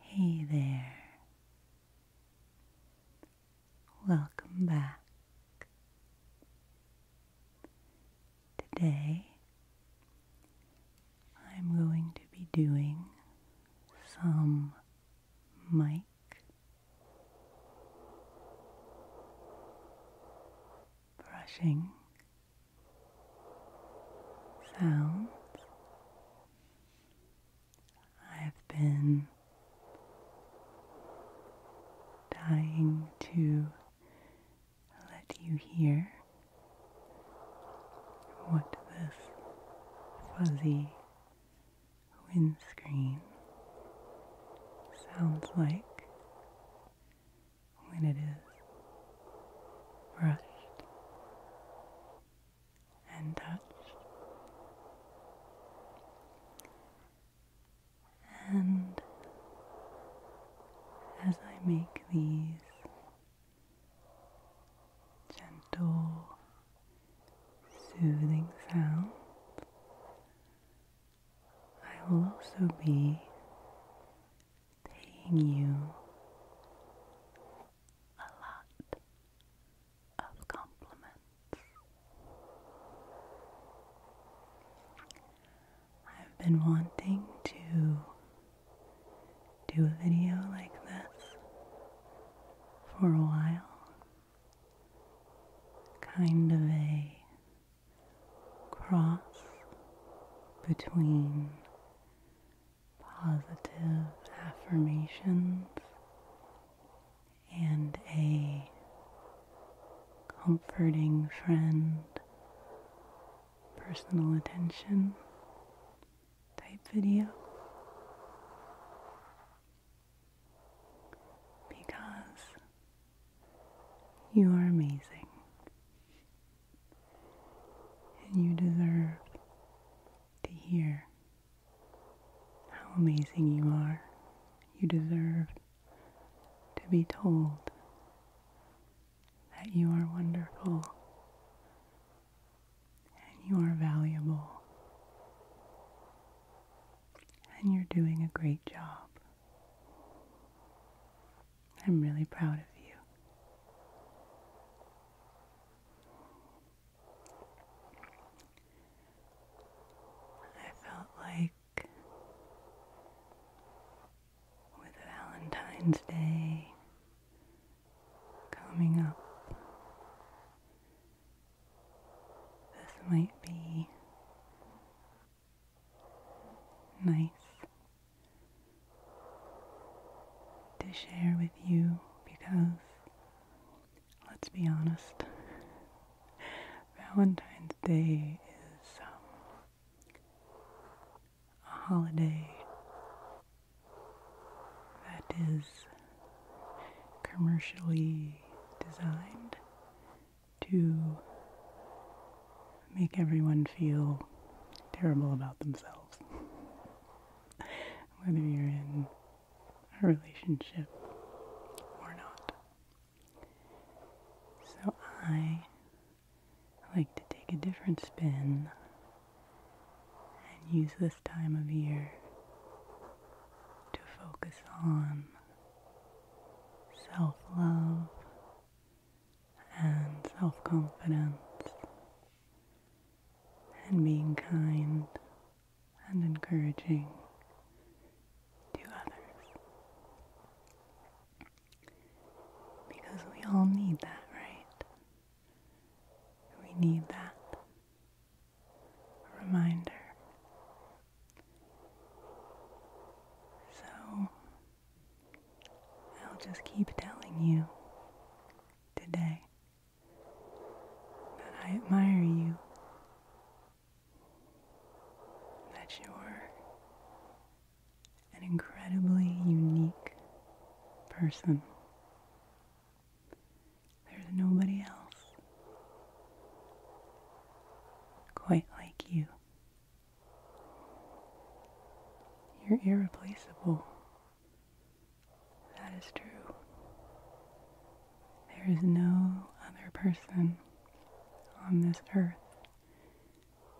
Hey there. Welcome back. Today I'm going to be doing some mic brushing sounds I've been dying to let you hear what this fuzzy windscreen sounds like when it is brushed and touch, and as I make these gentle, soothing sounds, I will also be paying you a lot of compliments. I've been wanting to do a video like this for a while. Kind of a cross between positive affirmations and a comforting friend, personal attention type video. Because you are amazing. And you deserve to hear how amazing you are. You deserve to be told that you are wonderful and you are valuable and you're doing a great job. I'm really proud of you. I felt like with Valentine's Day coming up, this might be nice to share with you because, let's be honest, Valentine's Day is um, a holiday that is commercially designed to make everyone feel terrible about themselves whether you're in a relationship or not. So I like to take a different spin and use this time of year to focus on self love and self confidence and being kind and encouraging to others. Because we all need that, right? We need that reminder. So, I'll just keep telling you today that I admire you, that you're an incredibly unique person. There's nobody else quite like you. You're irreplaceable. That is true. There is no other person on this earth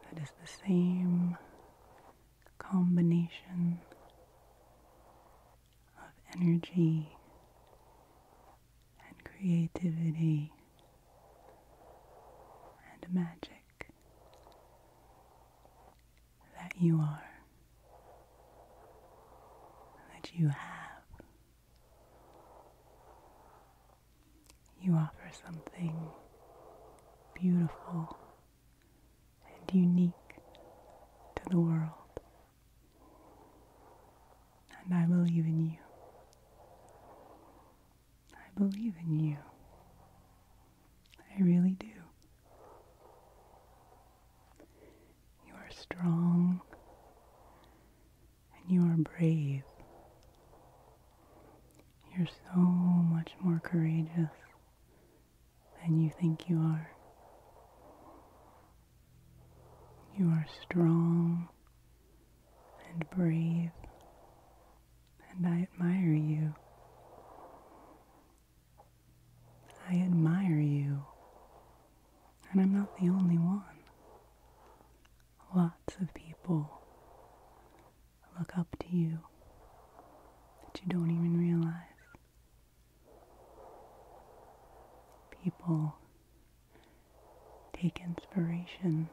that is the same combination of energy and creativity and magic that you are, that you have. You offer something beautiful and unique to the world. And I believe in you. I believe in you. I really do. You are strong and you are brave. You're so much more courageous than you think you are. You are strong and brave, and I admire you. I admire you, and I'm not the only one. Lots of people look up to you that you don't even realize. People take inspiration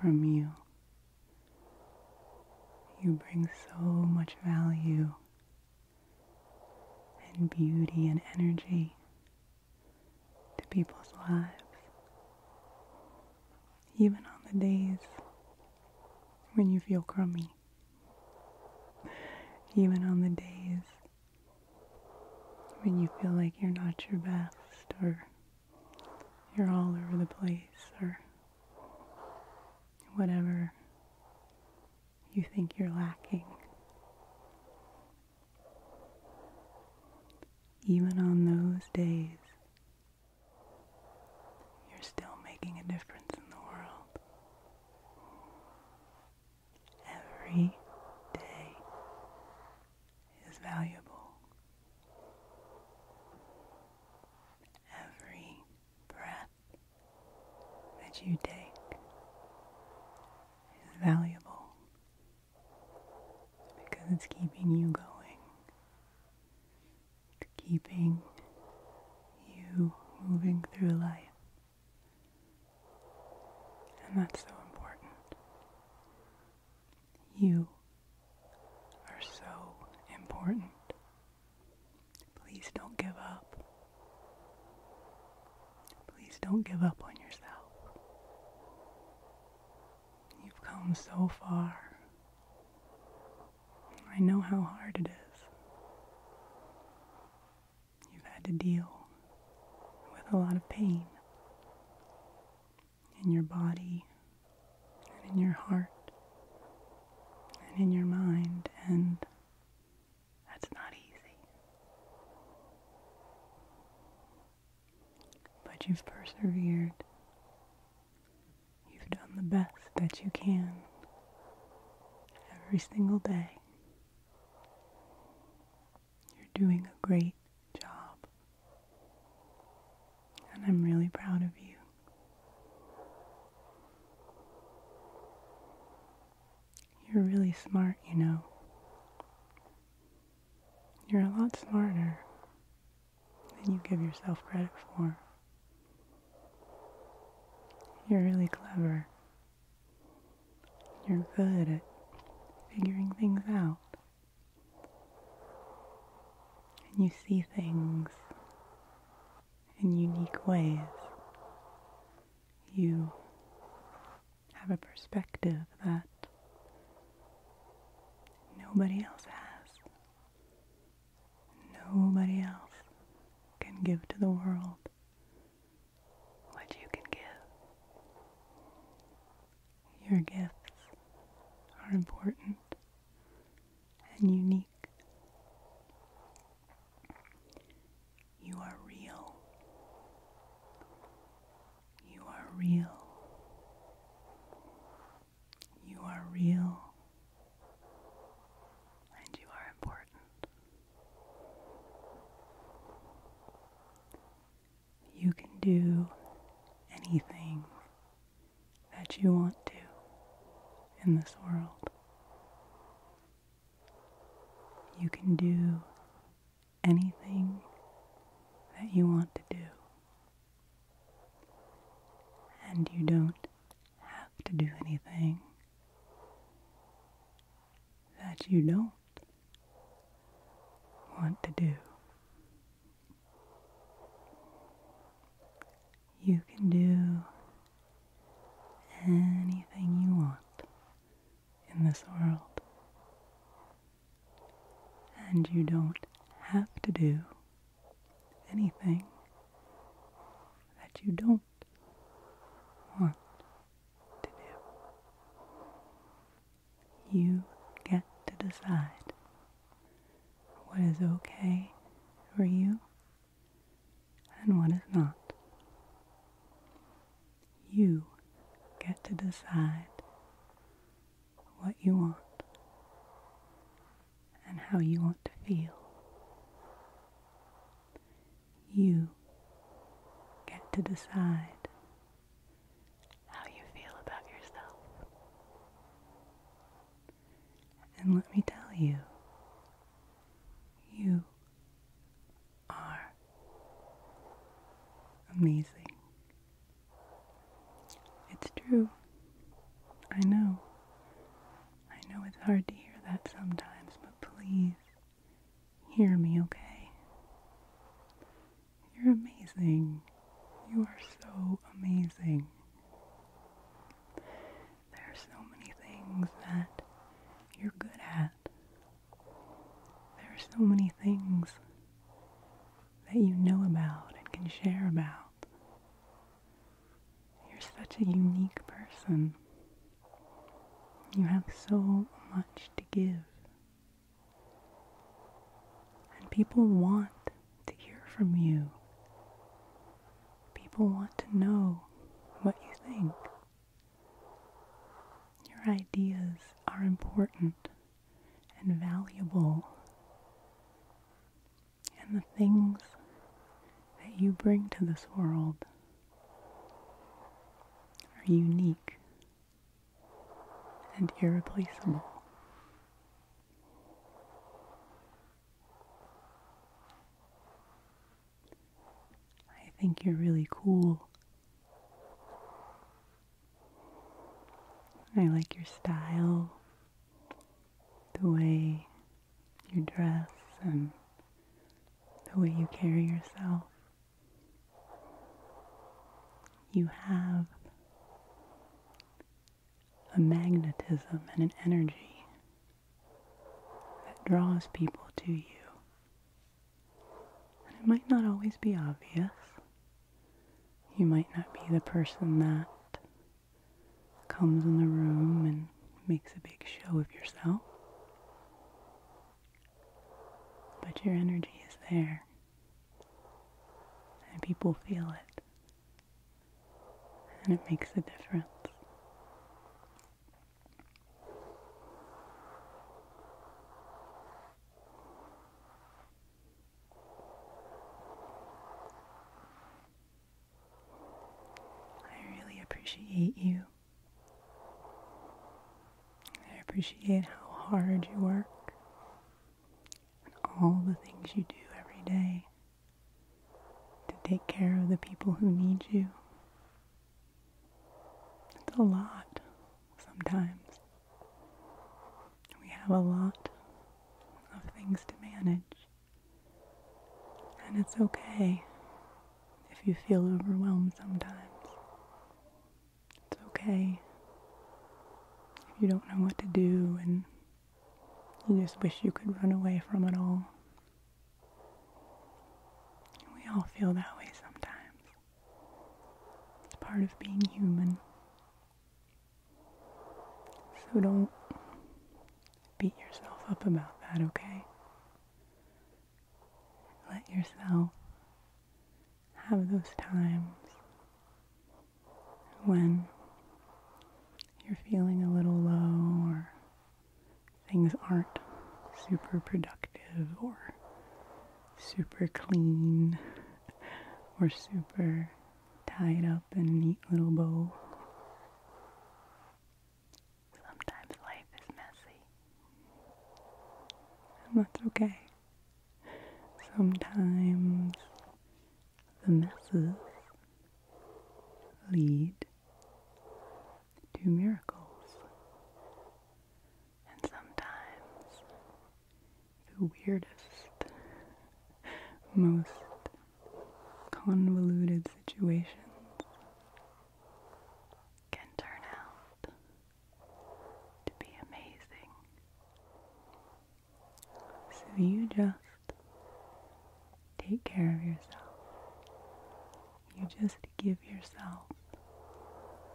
from you. You bring so much value and beauty and energy to people's lives, even on the days when you feel crummy, even on the days when you feel like you're not your best or you're all over the place or whatever you think you're lacking. Even on those days, you're still making a difference in the world. Every day is valuable every breath that you take is valuable because it's keeping you going. It's keeping you moving through life. And that's so important. You are so important Please don't give up. Please don't give up on yourself. You've come so far. I know how hard it is. You've had to deal with a lot of pain in your body and in your heart and in your mind and that's not easy. But you've persevered. You've done the best that you can every single day. You're doing a great job. And I'm really proud of you. You're really smart, you know. You're a lot smarter than you give yourself credit for. You're really clever. You're good at figuring things out. And you see things in unique ways. You have a perspective that nobody else has. Nobody else can give to the world what you can give. Your gifts are important and unique. You are real. You are real. You are real. And you are important. You can do anything that you want to in this world. You can do anything that you want to do, and you don't have to do anything that you don't want to do. You can do anything you want in this world. And you don't have to do anything that you don't want to do. You get to decide what is okay for you and what is not. You get to decide what you want and how you want to feel. You get to decide how you feel about yourself. And let me tell you, you are amazing. It's true. I know. I know it's hard to hear that sometimes, but please hear me, okay? You're amazing. You are so amazing. There are so many things that you're good at. There are so many things that you know about and can share about. You're such a unique person. You have so much to give. And people want to hear from you. People want to know what you think. Your ideas are important and valuable. And the things that you bring to this world are unique and irreplaceable. I think you're really cool. I like your style, the way you dress, and the way you carry yourself. You have a magnetism and an energy that draws people to you. And it might not always be obvious. You might not be the person that comes in the room and makes a big show of yourself. But your energy is there. And people feel it. And it makes a difference. I really appreciate you. I appreciate how hard you work and all the things you do every day to take care of the people who need you. It's a lot sometimes. We have a lot of things to manage. And it's okay if you feel overwhelmed sometimes. It's okay if you don't know what to do and you just wish you could run away from it all. We all feel that way sometimes. It's part of being human. So don't beat yourself up about that, okay? Let yourself have those times when you're feeling a little low or things aren't super productive or super clean or super tied up in neat little bow. Sometimes life is messy. And that's okay. Sometimes the messes lead do miracles. And sometimes the weirdest, most convoluted situations can turn out to be amazing. So you just take care of yourself. You just give yourself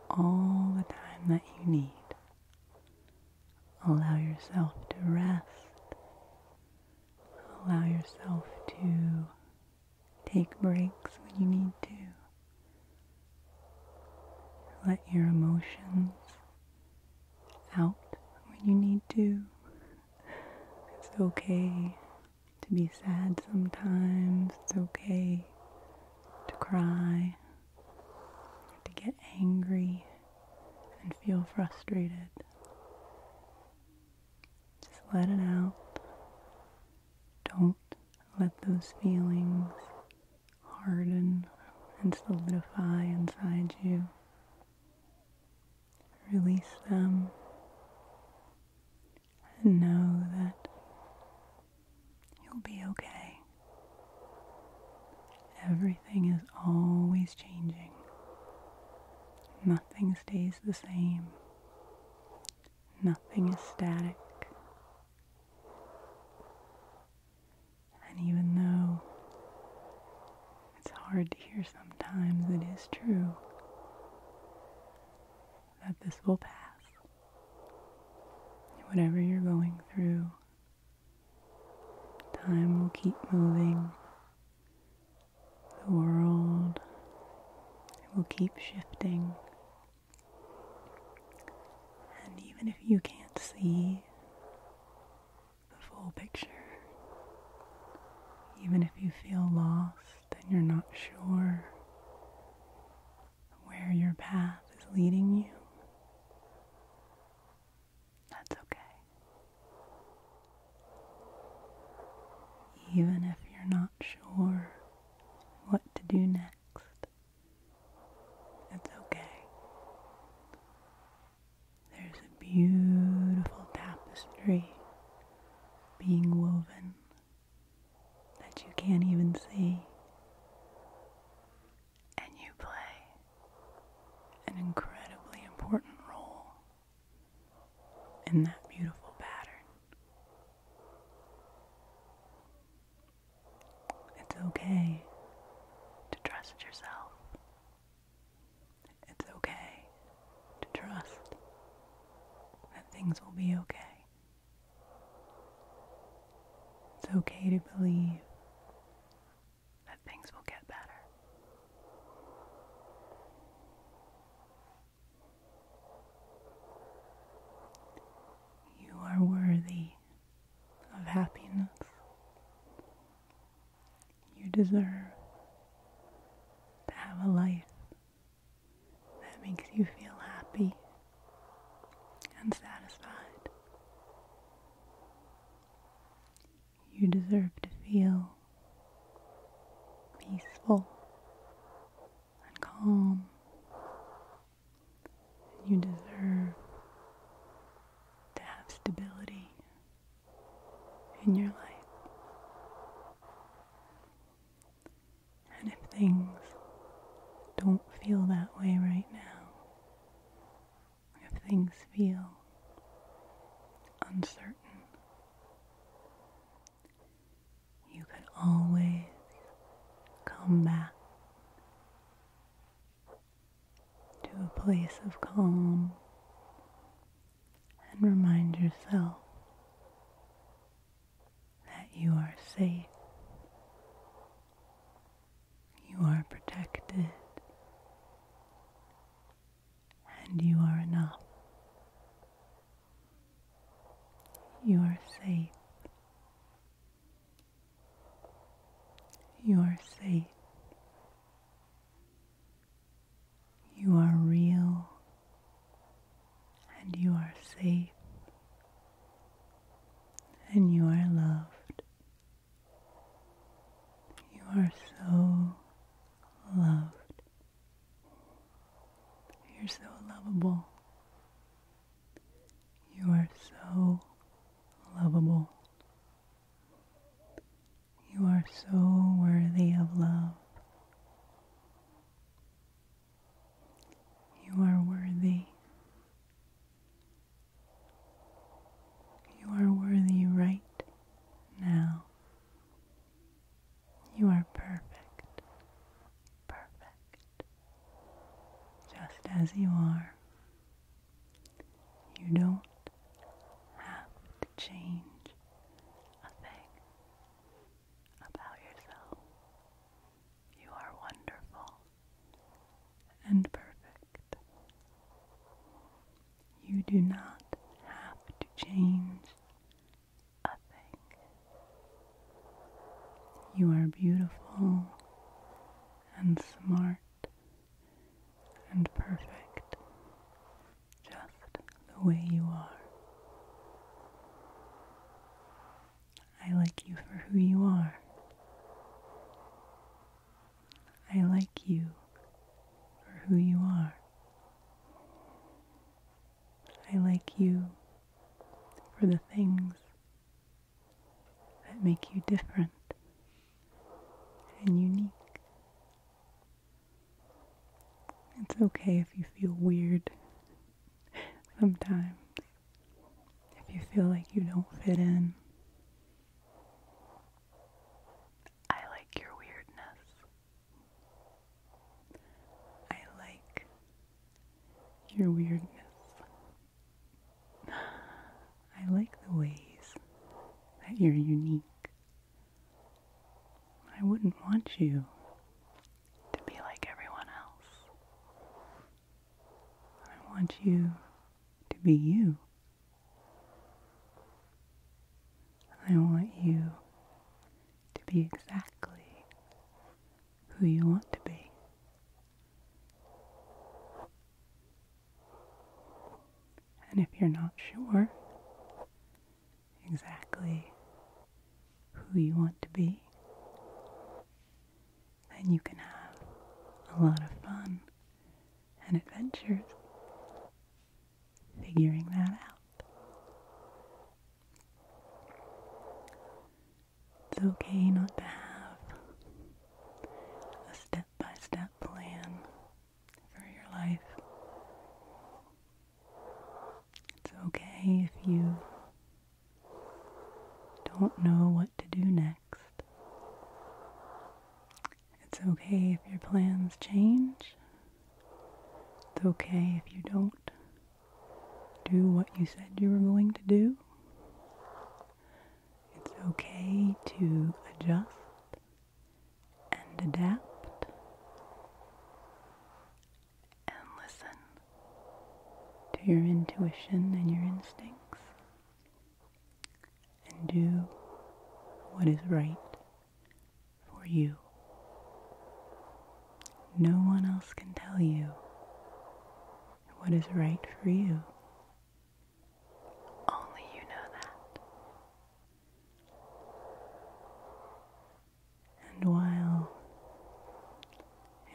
all the time that you need. Allow yourself to rest. Allow yourself to take breaks when you need to. Let your emotions out when you need to. It's okay to be sad sometimes. It's okay to cry, to get angry and feel frustrated. Just let it out. Don't let those feelings harden and solidify inside you. Release them and know that you'll be okay. Everything is always changing. Nothing stays the same. Nothing is static. And even though it's hard to hear sometimes, it is true, that this will pass. Whatever you're going through, time will keep moving. The world will keep shifting. And even if you can't see the full picture, even if you feel lost, then you're not sure where your path is leading you, that's okay. Even if you're not sure what to do next, it's okay. There's a beautiful tapestry being woven that you can't even see. And you play an incredibly important role in that beautiful pattern. It's okay to trust yourself. It's okay to trust that things will be okay. It's okay to believe that things will get better. You are worthy of happiness. You deserve to have a life that makes you feel happy and satisfied. You deserve to feel peaceful and calm. You deserve to have stability in your life. And if things don't feel that way right now, if things feel uncertain, you can always come back to a place of calm and remind yourself that you are safe, you are protected, and you are enough. You are safe. You are safe. You are real and you are safe and you are loved. You are so loved. You're so lovable. You are so lovable. You are so worthy of love. You are worthy. You are worthy right now. You are perfect. Perfect. Just as you are. You don't have to change a thing about yourself. You are wonderful and perfect. You do not have to change a thing. You are beautiful and smart and perfect just the way you are. I like you for who you are. I like you for who you are. I like you for the things that make you different and unique it's okay if you feel weird sometimes, if you feel like you don't fit in. I like your weirdness. I like your weirdness. I like the ways that you're unique. I wouldn't want you to be like everyone else. I want you to be you. I want you to be exactly who you want to be. And if you're not sure, exactly who you want to be, then you can have a lot of fun and adventures figuring that out. It's okay not to have a step by step plan for your life. It's okay if you don't know what to do next. It's okay if your plans change. It's okay if you don't do what you said you were going to do. It's okay to adjust and adapt and listen to your intuition and your instincts and do what is right for you. No one else can tell you what is right for you. Only you know that. And while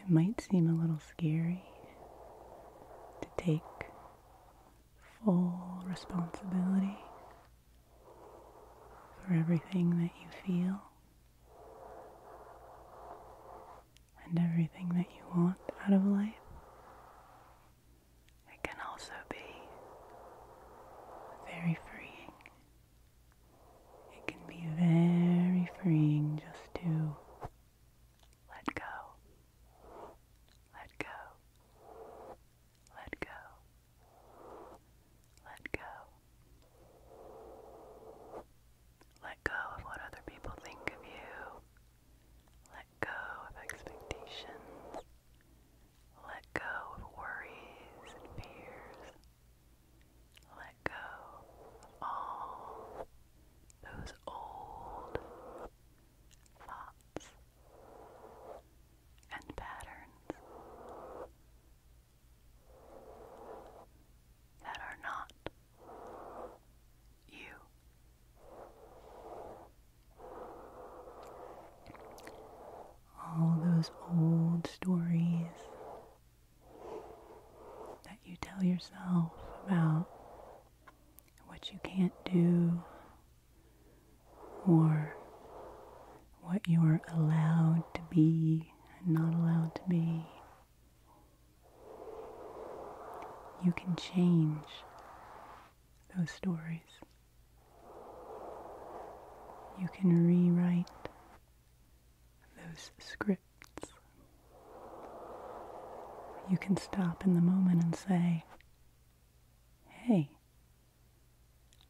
it might seem a little scary to take full responsibility for everything that you feel and everything that you want out of life, it can also be very freeing. It can be very freeing just to let go, let go, let go, let go. Let go of what other people think of you. Let go of expectations. Let go of worries and fears. Let go of those old thoughts and patterns that are not you all those old stories that you tell yourself about what you can't do or what you're allowed to be and not allowed to be. You can change those stories. You can rewrite those scripts. You can stop in the moment and say, hey,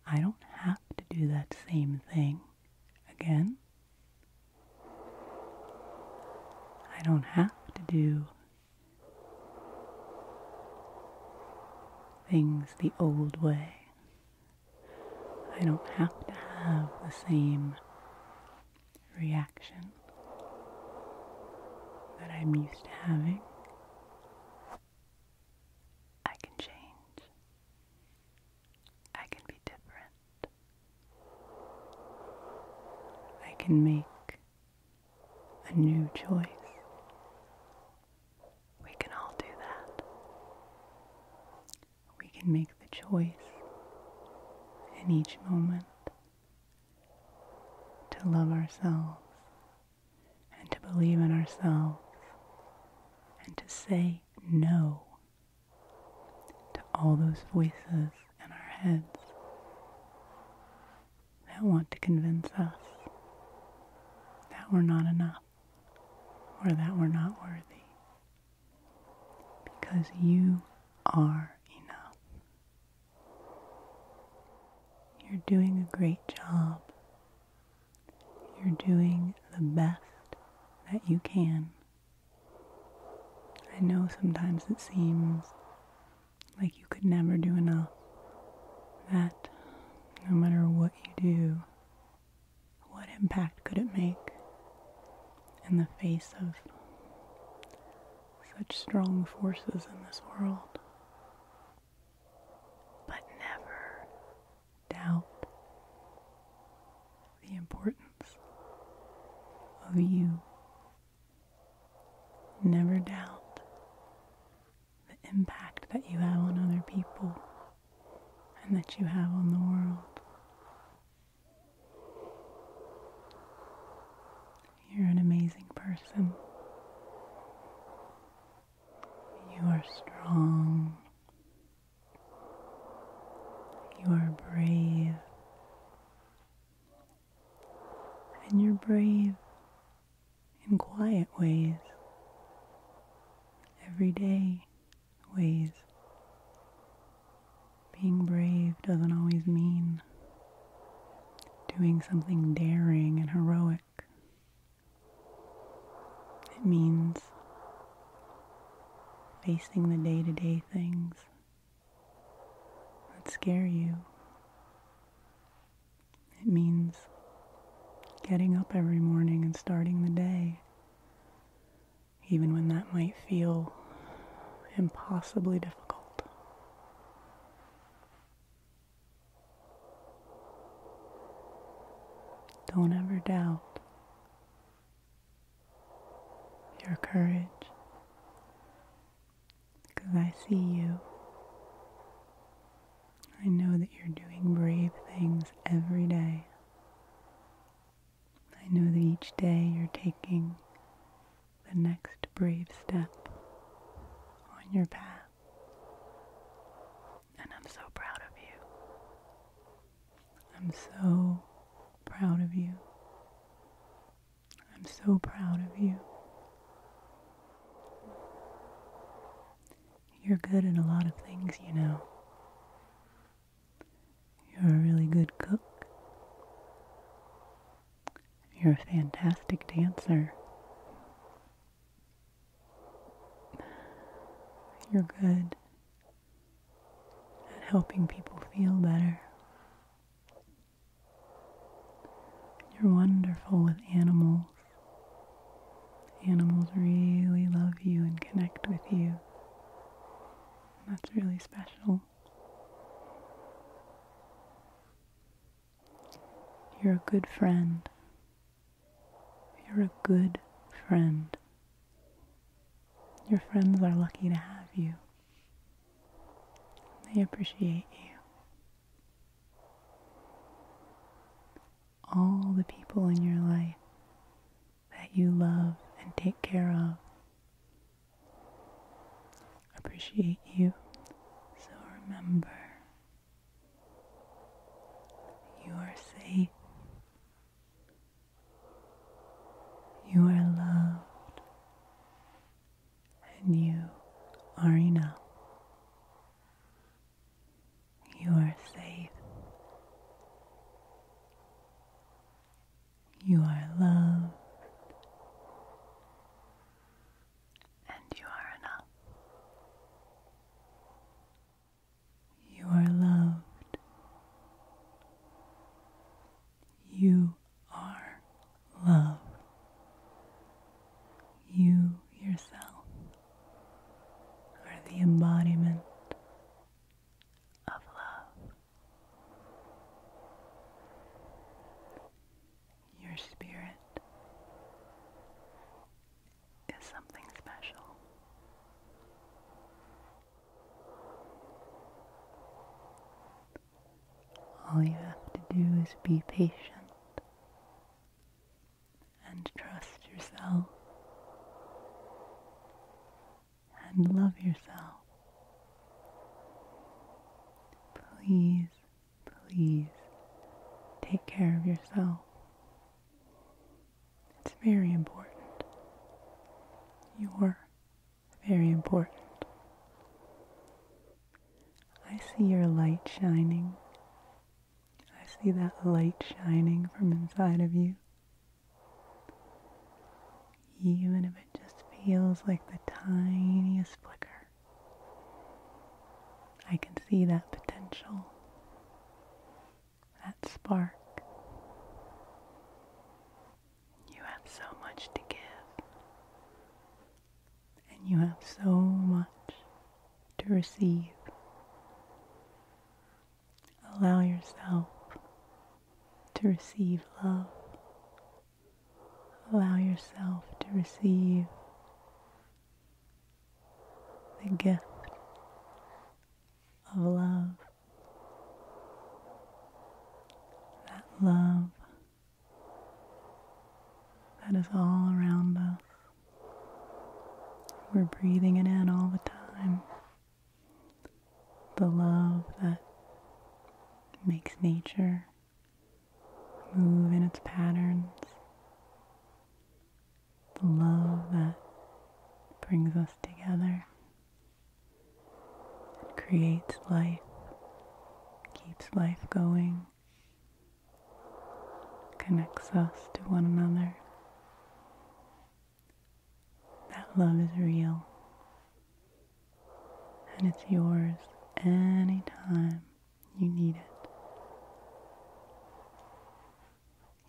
I don't have to do that same thing again. I don't have to do things the old way. I don't have to have the same reaction that I'm used to having. I can change. I can be different. I can make a new choice. We can all do that. We can make the choice in each moment to love ourselves and to believe in ourselves and to say no to all those voices in our heads that want to convince us that we're not enough or that we're not worthy. Because you are enough. You're doing a great job. You're doing the best that you can. I know sometimes it seems like you could never do enough. That no matter what you do, what impact could it make in the face of such strong forces in this world? But never doubt the importance of you. Never doubt the impact that you have on other people and that you have on the world. You're an amazing person. You are strong. You are brave. And you're brave in quiet ways everyday ways. Being brave doesn't always mean doing something daring and heroic. It means facing the day to day things that scare you. It means Getting up every morning and starting the day, even when that might feel impossibly difficult. Don't ever doubt your courage because I see you I know that you're doing brave things every day. I know that each day you're taking the next brave step on your path. And I'm so proud of you. I'm so proud of you. I'm so proud of you. You're good at a lot of things, you know. You're a really good cook. You're a fantastic dancer. You're good at helping people feel better. You're wonderful with animals. Animals really love you and connect with you. That's really special. You're a good friend. You're a good friend. Your friends are lucky to have you. They appreciate you all the people in your life that you love and take care of appreciate you. So remember, you are safe. You are loved. And you are enough. You are safe. You are loved. And you are enough. You are loved. You are love. You yourself are the embodiment of love. Your spirit is something special. All you have to do is be patient and trust yourself and love yourself. Please, please take care of yourself. It's very important. You're very important. I see your light shining I see that light shining from inside of you. Even if it just feels like the tiniest flicker, I can see that potential, that spark. You have so much to give, and you have so much to receive. Allow yourself to receive love. Allow yourself to receive the gift of love. That love that is all around us. We're breathing it in all the time. The love that makes nature move in its patterns. The love that brings us together. It creates life, keeps life going, connects us to one another. That love is real. And it's yours anytime you need it.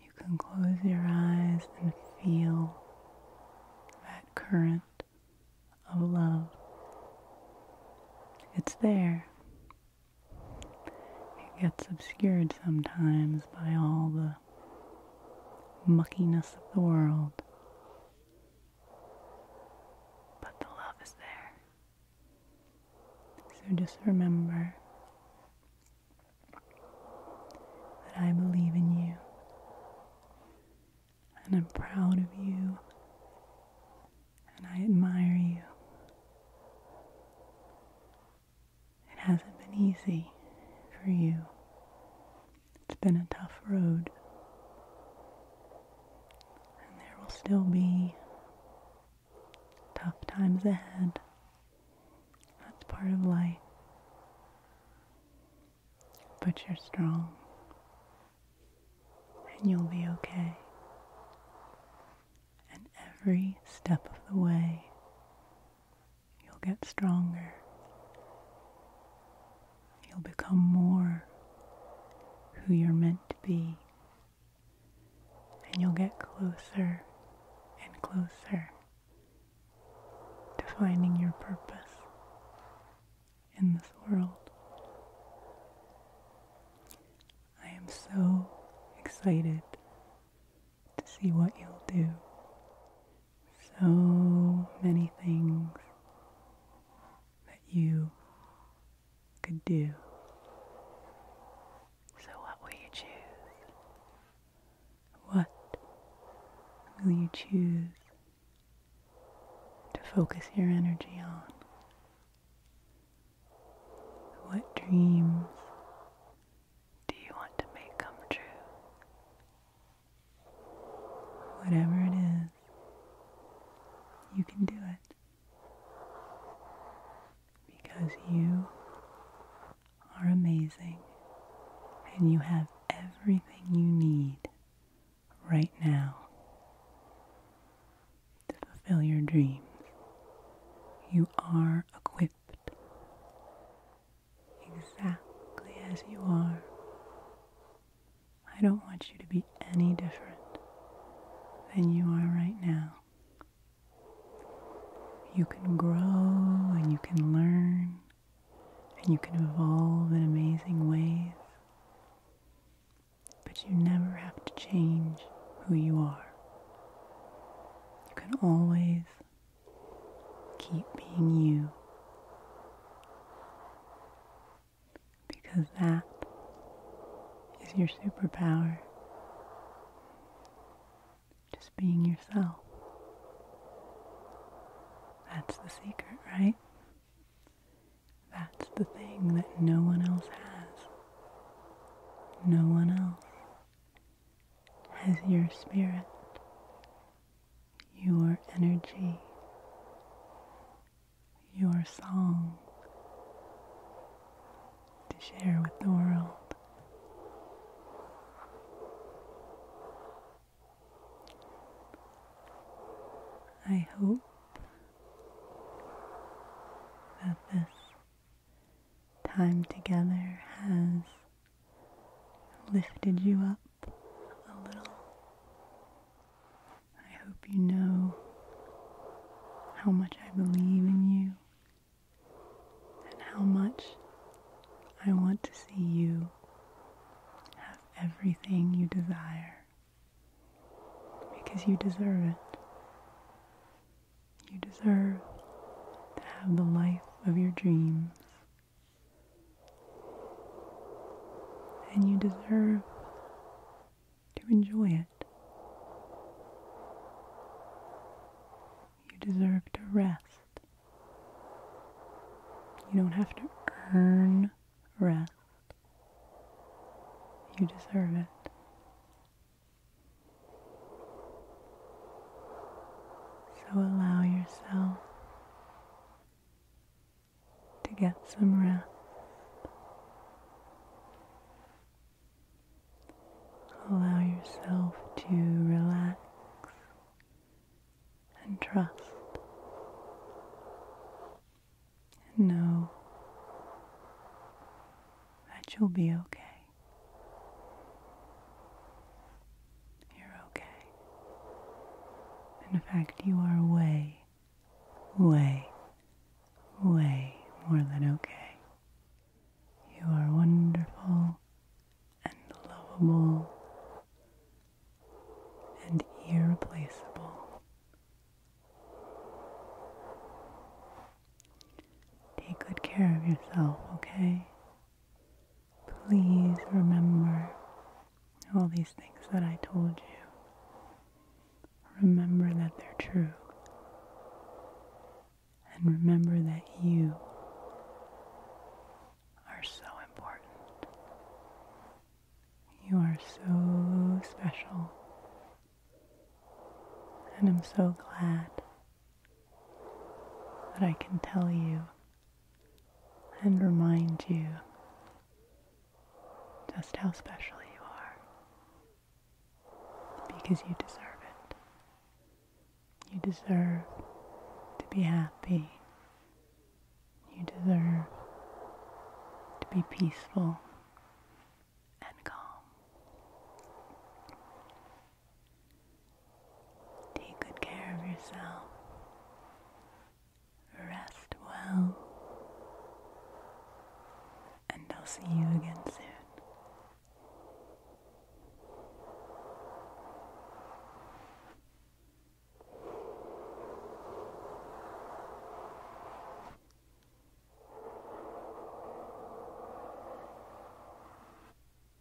You can close your eyes and feel that current of love. It's there. It gets obscured sometimes by all the muckiness of the world. But the love is there. So just remember that I believe in you and I'm proud of you and I admire you. It hasn't been easy for you. It's been a tough road. And there will still be tough times ahead. That's part of life. But you're strong. And you'll be okay and every step of the way, you'll get stronger. You'll become more who you're meant to be, and you'll get closer and closer to finding your purpose in this world. I am so excited to see what you'll do. So many things that you could do. So, what will you choose? What will you choose to focus your energy on? What dreams do you want to make come true? Whatever it is, you can do it. Because you are amazing and you have everything you need right now to fulfill your dreams. You are equipped exactly as you are. I don't want you to be any different than you are right now. You can grow and you can learn and you can evolve in amazing ways, but you never have to change who you are. You can always Keep being you. Because that is your superpower. Just being yourself. That's the secret, right? That's the thing that no one else has. No one else as your spirit, your energy, your song to share with the world. I hope that this time together has lifted you up a little. I hope you know how much I believe in you and how much I want to see you have everything you desire because you deserve it. You deserve to have the life of your dreams. And you deserve to enjoy it. You deserve to rest. You don't have to earn rest. You deserve it. So allow yourself to get some rest. Allow yourself to relax and trust and know that you'll be okay. You're okay. In fact, you are way, way, way more than okay. You are wonderful and lovable and irreplaceable. Take good care of yourself, okay? please remember all these things that I told you. Remember that they're true. And remember that you are so important. You are so special. And I'm so glad that I can tell you and remind you just how special you are because you deserve it. You deserve to be happy. You deserve to be peaceful and calm. Take good care of yourself. Rest well. And I'll see you again soon.